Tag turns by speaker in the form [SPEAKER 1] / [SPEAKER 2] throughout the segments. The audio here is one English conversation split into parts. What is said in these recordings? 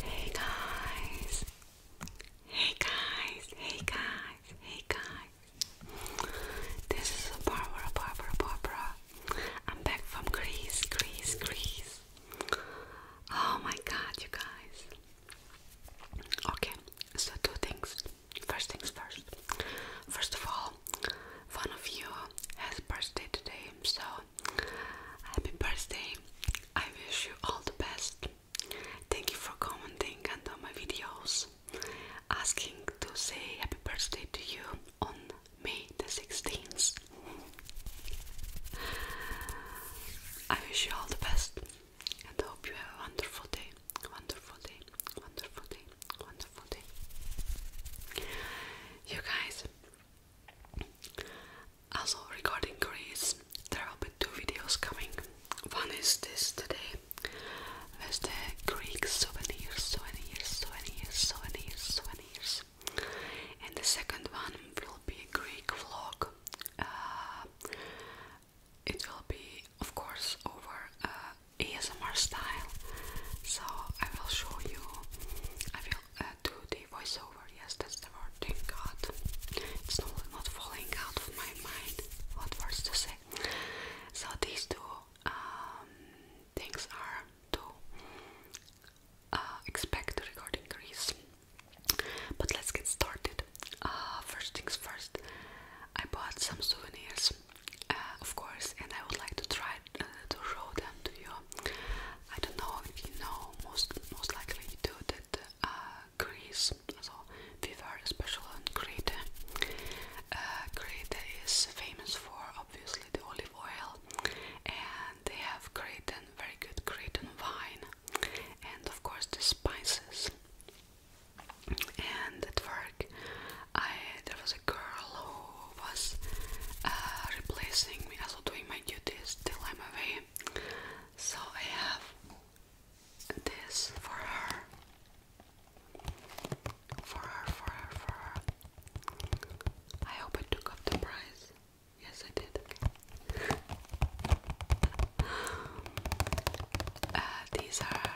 [SPEAKER 1] Hey guys. Hey guys, hey guys, hey guys. This is Barbara, Barbara, Barbara. I'm back from Greece, Greece, Greece. Oh my god, you guys. Okay, so two things. First things first. First of all, one of you has birthday today, so happy birthday. I wish you all the best. Thank you for commenting and on my videos asking to say happy birthday to you on May the 16th. I wish you all the best and hope you have a wonderful day, wonderful day, wonderful day wonderful day. You guys, also regarding Greece, there will be two videos coming. One is this today with the Greek souvenirs, souvenirs, souvenirs, souvenirs, souvenirs, and the second one will be a Greek vlog. Uh, it will be, of course, over uh, ASMR style. So I will show you. I will uh, do the voiceover. Yes, that's the word. Thank God, it's normally not falling out of my mind. What words to say? So these two um, things are to uh, expect the regarding Greece. But let's get started. Uh, first things first, I bought some souvenirs uh, of course, and I would like to try uh, to show them to you. I don't know if you know, most most likely you do that uh, Greece, so we are special on Crete. Uh, Crete is famous for obviously the olive oil, and they have Cretan, very good Cretan wine, and of course the spices and at work I there was a girl who was uh, replacing me also doing my duties till I'm away so I have this for her for her for her for her I hope I took up the price yes I did uh, these are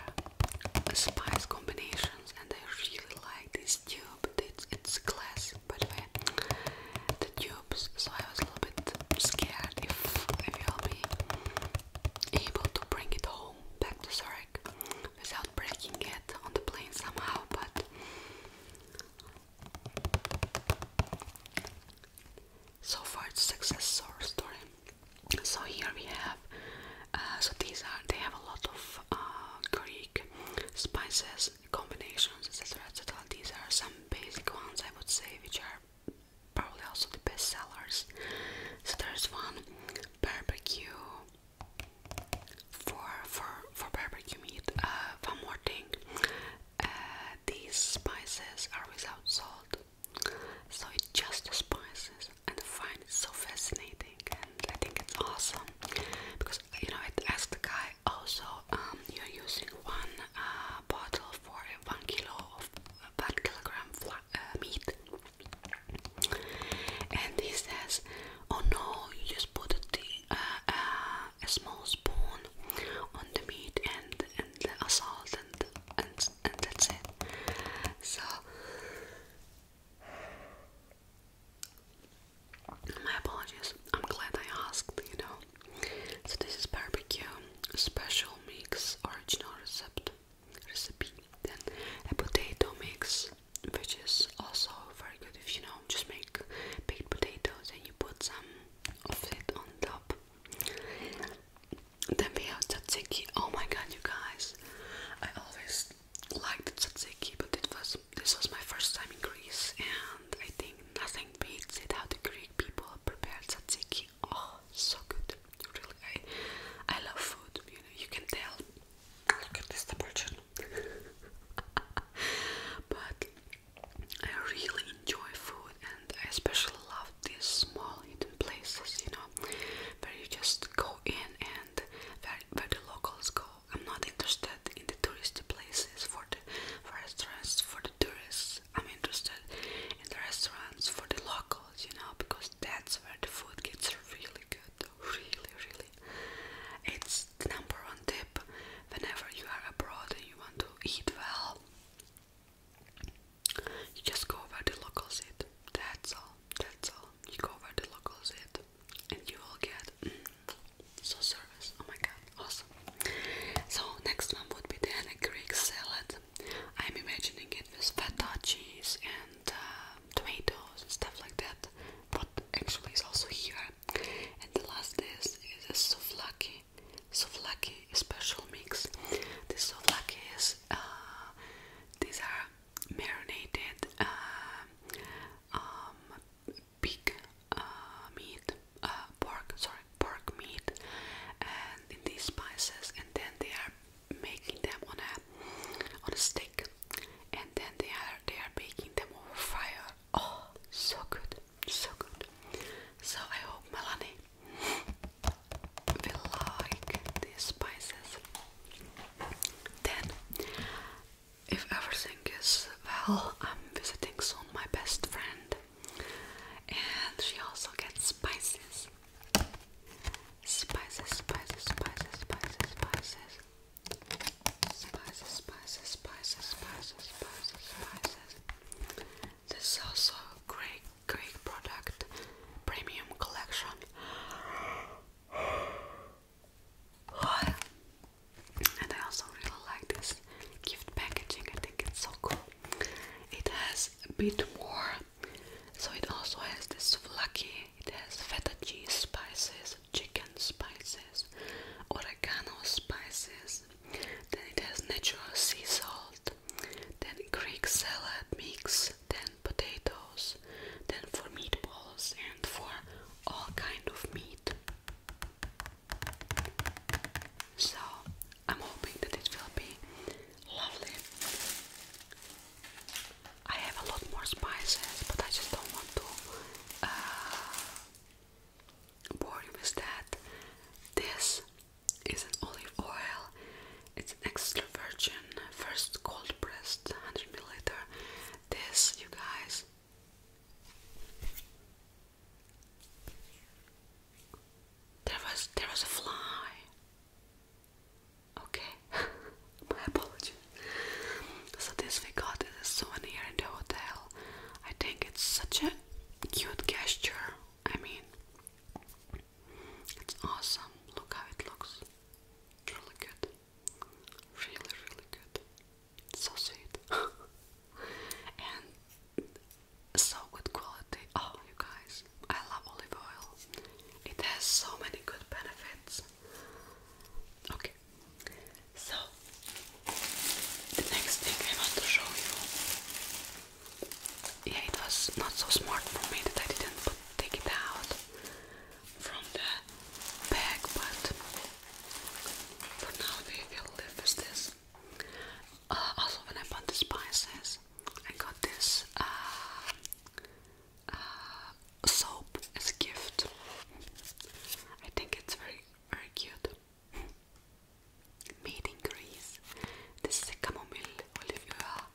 [SPEAKER 1] spice combinations and I really like this tube. It's, it's glass, by the way, the tubes, so I was a little bit scared if, if I'll be able to bring it home back to Zurich without breaking it on the plane somehow, but so far it's success story. So here we have, uh, so these are, they have a lot of uh, Greek spices, combinations, These are some basic ones I would say, which are probably also the best sellers. So there's one barbecue for for for barbecue meat. Uh, one more thing, uh, these spices are without salt, so it just the spices and I find it so fascinating and I think it's awesome because you know it asked the guy also um, you're using one uh, bottle for one kilo of uh, one kilogram uh, meat and he says oh no you just put a, uh, uh, a small spoon on the meat and, and the salt and, and and that's it. So my apologies. I'm glad I asked, you know. So this is barbecue special mix original recipe recipe. Then a potato mix which is also very good if you know just make baked potatoes and you put some of it on top. Then we have tzatziki. Oh my god, you guys! I always liked the tzatziki, but it was this was my first time in Greece, and I think nothing beats it how the Greek people prepare tzatziki. Oh, so good! Really, I I love food. You can tell. Look at this depression. but I really enjoy food, and I especially love these small hidden places, you know, where you just go in and where, where the locals go. I'm not interested in the touristy places for the restaurants for the tourists. I'm interested in the restaurants for the locals, you know, because that's where the food gets really good, really, really. It's the number one tip whenever you are abroad and you want to eat well. You just go over the locals eat. That's all. That's all. You go over the locals eat, and you will get mm, so service. Oh my god, awesome! So next one would be the Greek salad. I'm imagining it with feta cheese and uh, tomatoes and stuff like that. But actually, it's also here. And the last is is a souvlaki souvlaki special mix. This souvlaki is uh, these are marinated uh, um, uh meat, uh, pork, sorry, pork meat, and these spices, and then they are making them on a on a stick, and then they are they are baking them over fire. Oh, so good, so good. So I hope Melanie we like these spices. Then, if everything is well, I'm visiting soon my best friend, and she also gets spices. Spices, spices, spices, spices, spices. Spices, spices, spices, spices, spices, spices. This is also a great, great product, premium collection. And I also really like this gift packaging. I think it's so cool. It has a bit more, so it also has this flaky. It has feta cheese spices, chicken spices, oregano spices. Then it has natural sea salt, then Greek salad mix, then potatoes, then for meatballs and for all kind of meat. So I'm hoping that it will be lovely. I have a lot more spices, but I just don't want to bore uh, you with that. This it's an olive oil. It's an extra virgin, first cold pressed, 100 milliliter. This, you guys, there was there was a fly. Okay, my apologies. So this we got as a souvenir in the hotel. I think it's such a cute gesture I mean, it's awesome. Look how it looks. Really good. Really, really good. so sweet. and so good quality. Oh, you guys, I love olive oil. It has so many good benefits. Okay, so the next thing I want to show you yeah, it was not so smart for me that I didn't take it out from the bag, but for now we will live with this. Uh, also, when I bought the spices, I got this uh, uh, soap as gift. I think it's very, very cute. Made in Greece. This is a chamomile olive oil.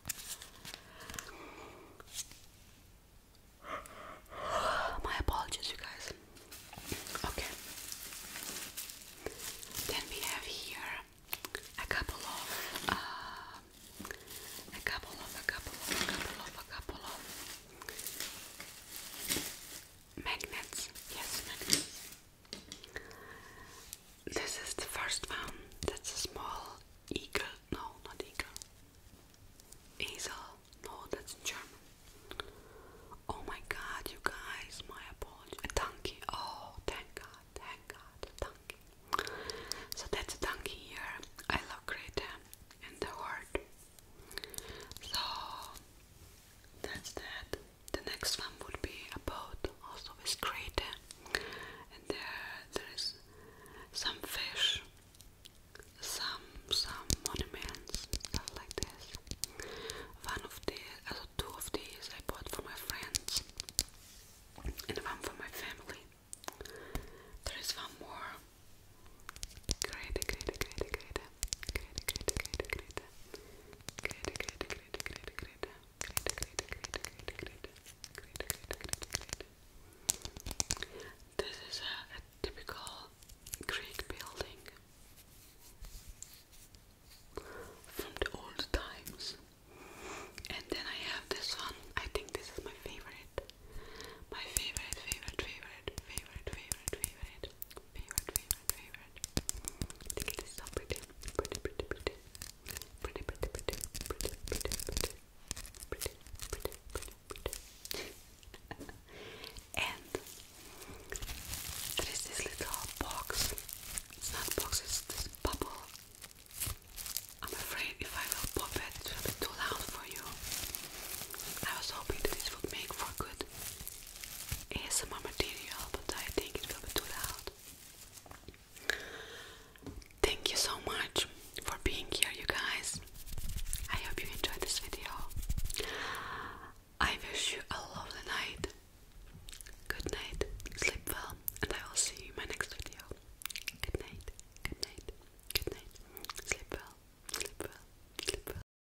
[SPEAKER 1] My apologies, you guys. Okay. Then we have here a couple of, uh, a couple of, a couple of, a couple of, a couple of magnets. Yes, magnets. This is the first one. That's a small eagle. No, not eagle. Easel. No, that's German. Oh my god, you guys, my apologies. A donkey. Oh, thank god, thank god, a donkey. So that's a donkey here. I love Greta in the heart. So that's that. The next one would be a boat, also with crete, and there there is some fish, some some monuments, stuff like this. One of the, also two of these I bought for my friends, and one for my family. There is one more. Great, great, great, great. This is a, a typical Greek building from the old times. And then I have this one. I think this is my favorite. My favorite, favorite, favorite, favorite, favorite, favorite, favorite, favorite, and there is this little box. It's not box, it's this bubble. I'm afraid if I will pop it, it will be too loud for you. I was hoping that this would make for good ASMR material, but I think it will be too Thank you so much for being here, you guys. I hope you enjoyed this video. I wish you a lovely night. Good night, sleep well, and I will see you in my next video. Good night, good night, good night. Sleep well, sleep well, sleep well.